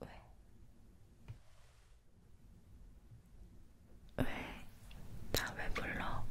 왜? 왜? 나 왜 불러?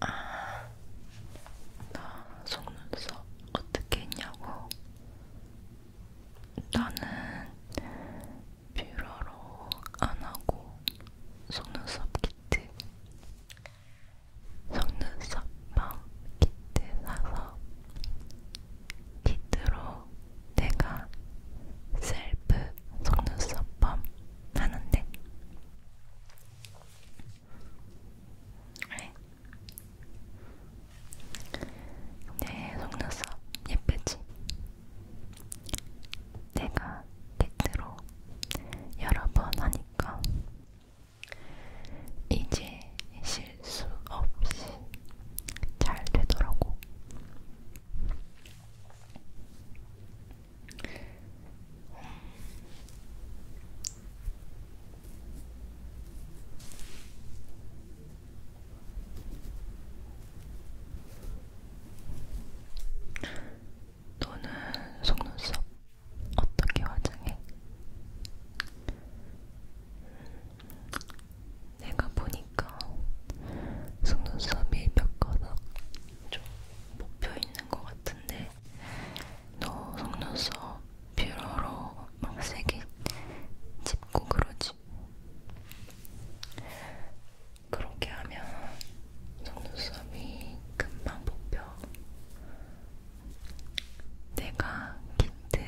아, 나 속눈썹 어떻게 했냐고? 나는 뷰러로 안 하고 속눈썹 키트 속눈썹 멍 키트 사서 키트로 내가 셀프 속눈썹 펌 하는데 네. 내 속눈썹 예쁘지? 내가 키트로 여러 번 하니까 이제 실수 없이 잘 되더라고. 너는 속눈썹 어떻게 화장해? 음, 내가 보니까 속눈썹이 몇 가닥 좀 뽑혀 있는 것 같은데 너 속눈썹 뷰러로 막 세게 짚고 그러지? 그렇게 하면 속눈썹이 금방 뽑혀. 내가 키트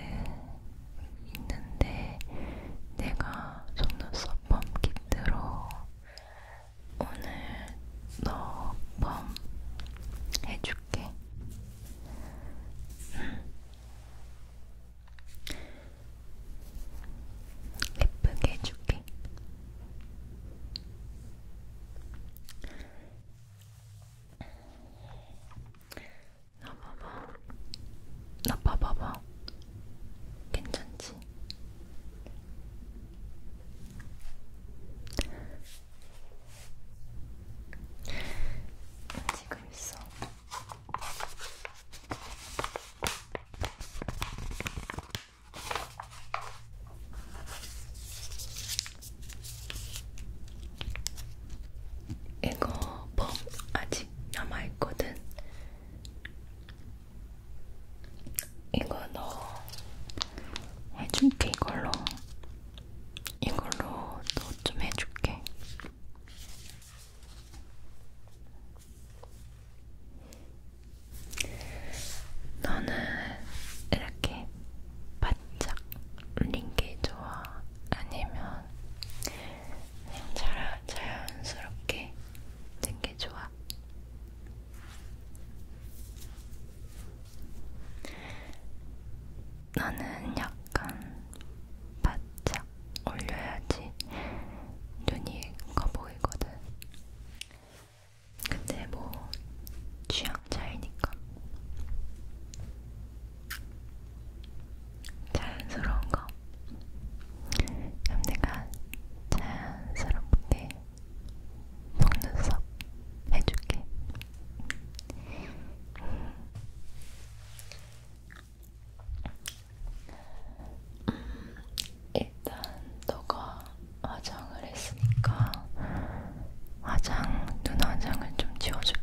있는데 내가 속눈썹 펌 키트로 오늘 너 펌 해줄게. 예쁘게 해줄게. 나 봐봐. 나 봐봐봐. 괜찮지? 지금 있어. 이거 펌 아직 남아있거든. 이거 너 해줄게, 이걸로. 이걸로 너 좀 해줄게. 너는 이렇게 바짝 울린 게 좋아? 아니면 그냥 자라, 자연스럽게 된게 좋아? 너는 약간 바짝 올려야지 눈이 커 보이거든. 근데 뭐 취향 차이니까 자연스러운 거 그럼 내가 자연스럽게 속눈썹 해줄게 음, 일단 너가 화장을 했으니까 화장, 눈 화장을 좀 지워줄게.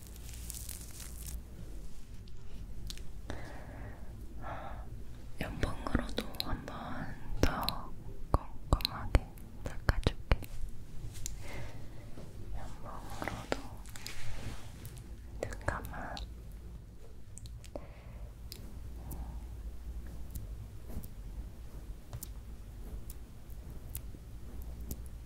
연봉으로도 한번 더 꼼꼼하게 닦아줄게. 연봉으로도 눈 감아.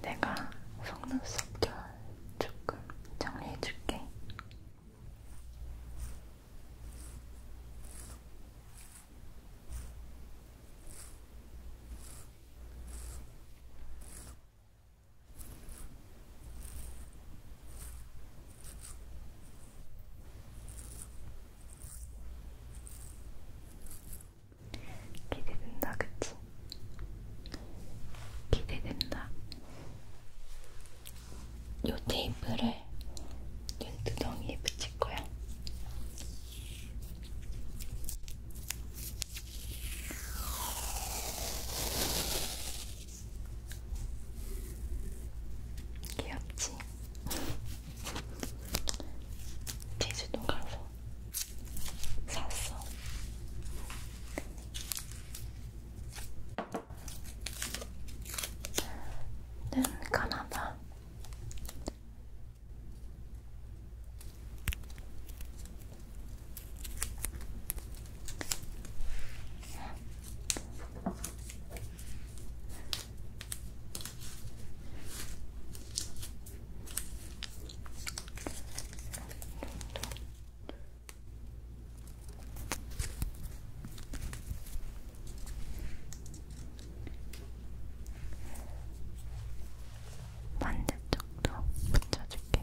내가 속눈썹 결 조금 정리해줄게. 기대된다, 그치? 기대된다. 요 테이프를 눈두덩이에 붙일 거야. 귀엽지? 제주도 가서 샀어. 는 가나다. 반대쪽도 붙여줄게.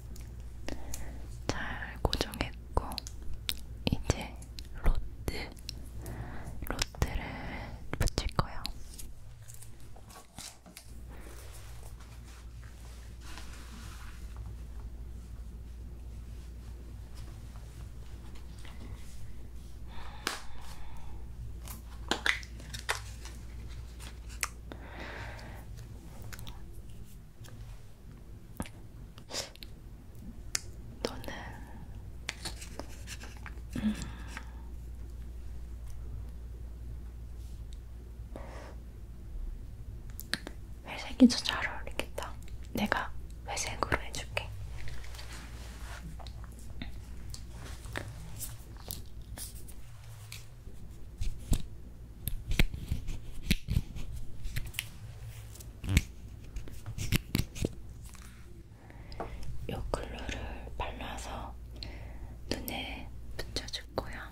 잘 고정했고 이제 로트 로트를 붙일 거예요. 너는 음. 회색이 더 잘 어울리겠다. 내가 회색으로 해줄게. 음. 요 글루를 발라서 눈에 붙여줄 거야.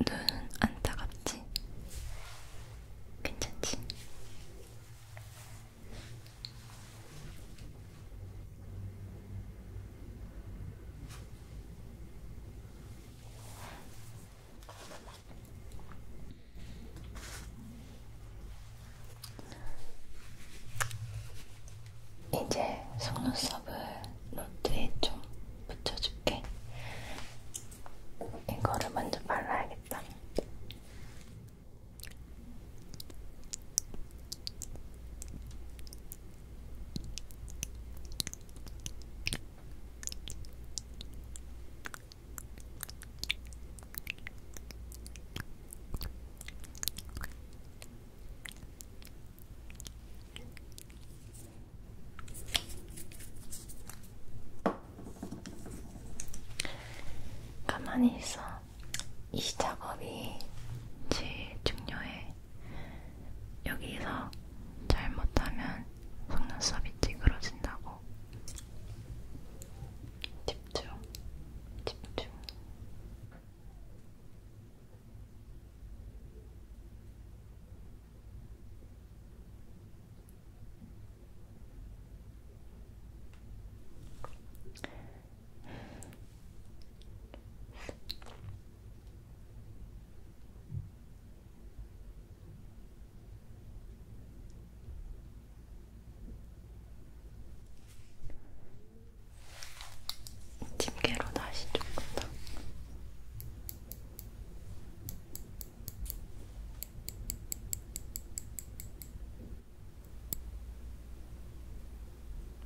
눈은 안 따갑지? 괜찮지? 이제 속눈썹을 롯트에 좀 붙여줄게. 이거를 먼저 발라야겠다. 가만히 있어. 이 작업이 제일 중요해. 여기서 잘못하면 속눈썹이 찌그러진다고. 집중, 집중. 집게로 다시 조금 더.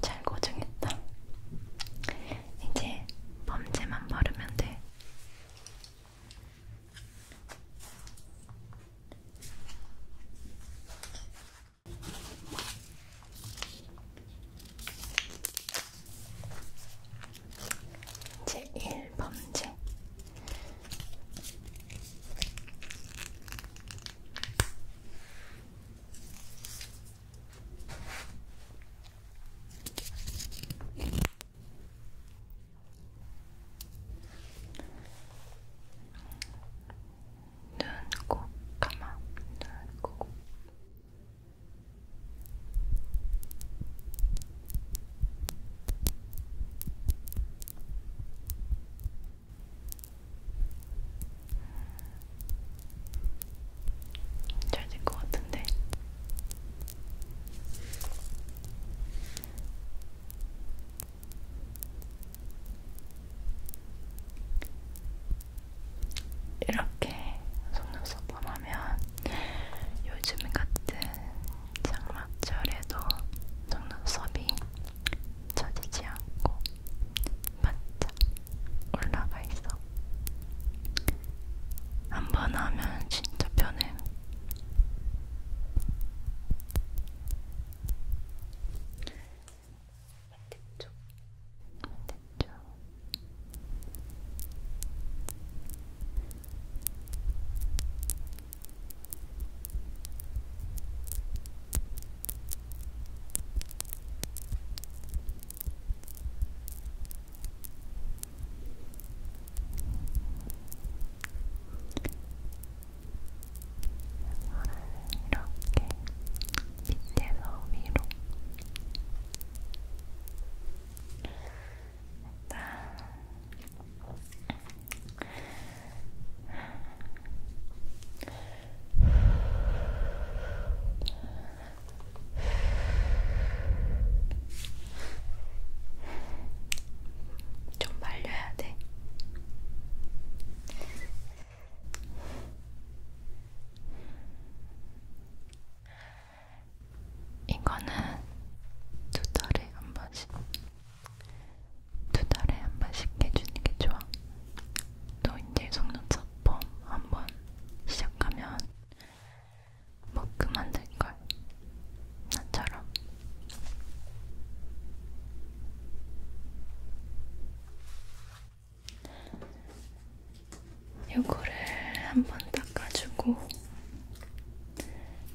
잘 고정했다. 이제 범죄만 바르면 돼. 제1범죄 눈, 코, 가마, 눈, 코, 잘된것 같은데. 이렇게 속눈썹만 하면 요즘 같은 장마철에도 속눈썹이 처지지 않고 바짝 올라가 있어. 한 번 하면 진짜 편해. 반대쪽, 반대쪽. 이렇게 밑에서 위로 일단 좀 말려야 돼. 이거는 두 달에 한 번씩, 두 달에 한 번씩 해주는 게 좋아. 또 이제 속눈썹 펌 한번 시작하면 못 뭐 그만둘 걸. 나처럼. 요거를 한번 닦아주고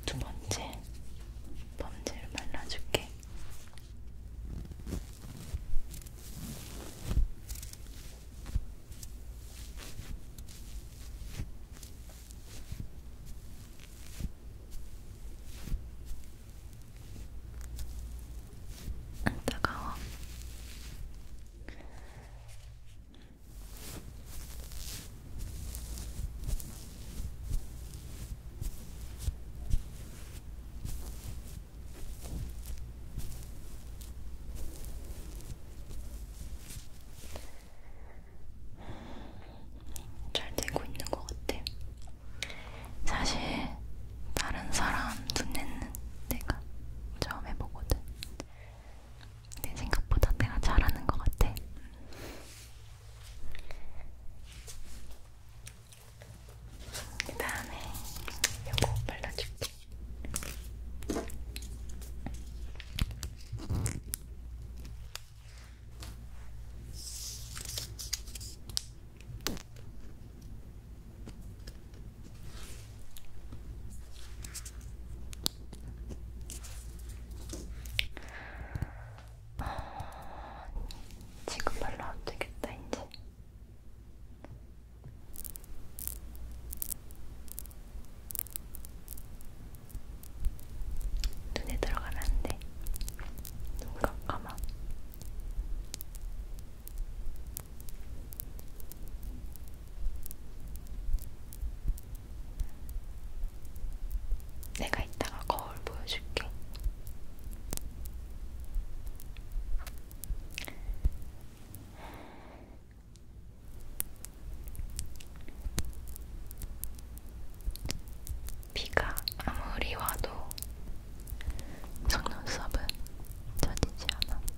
두 번째 범죄를 발라줄게. 안 따가워. 잘 되고 있는 것 같아. 사실 다른 사람 눈에는 내가 처음 해보거든. 내 생각보다 내가 잘하는 것 같아. 그 다음에 요거 발라줄게. 아, 지금 별로 안 되겠다, 이제. 눈에 들어가면 안 돼. 눈 감아. 내가 이따가 거울 보여줄게. 비가 아무리 와도 속눈썹은 젖이지 않아.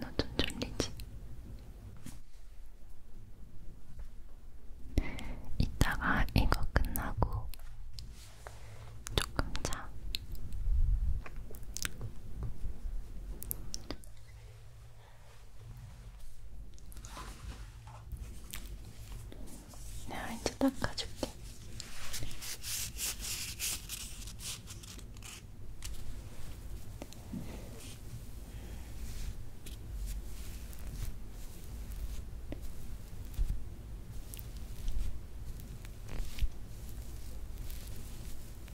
너좀 졸리지? 이따가 이거 끝나고 조금 자. 내가 이제 닦아줄게.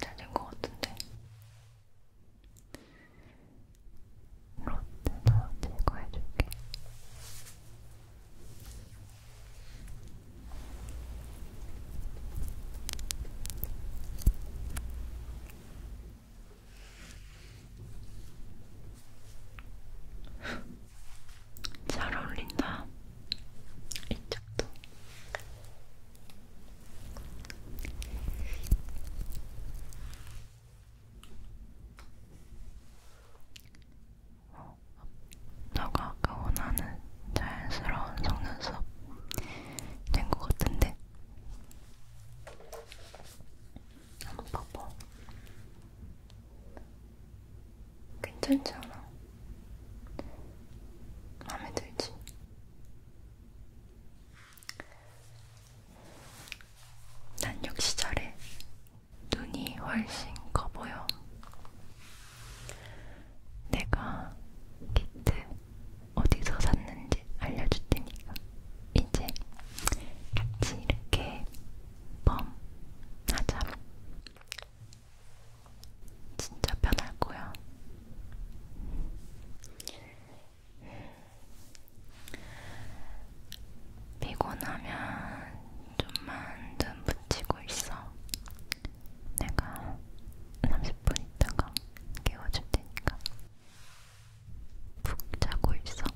잘된것 같은데. 롯데도 제거해줄게. 잘 어울린다. 이쪽도. 어, 너가 아까 원하는 자연스러운 속눈썹 된 것 같은데? 한번 봐봐. 괜찮지 않아? 마음에 들지? 난 역시 잘해. 눈이 훨씬 커 보여. 내가 키트 어디서 샀는지 알려줄 테니까 이제 같이 이렇게 펌하자. 진짜 편할 거야. 피곤하면 좀만 눈 붙이고 있어. 내가 30분 있다가 깨워줄 테니까. 푹 자고 있어.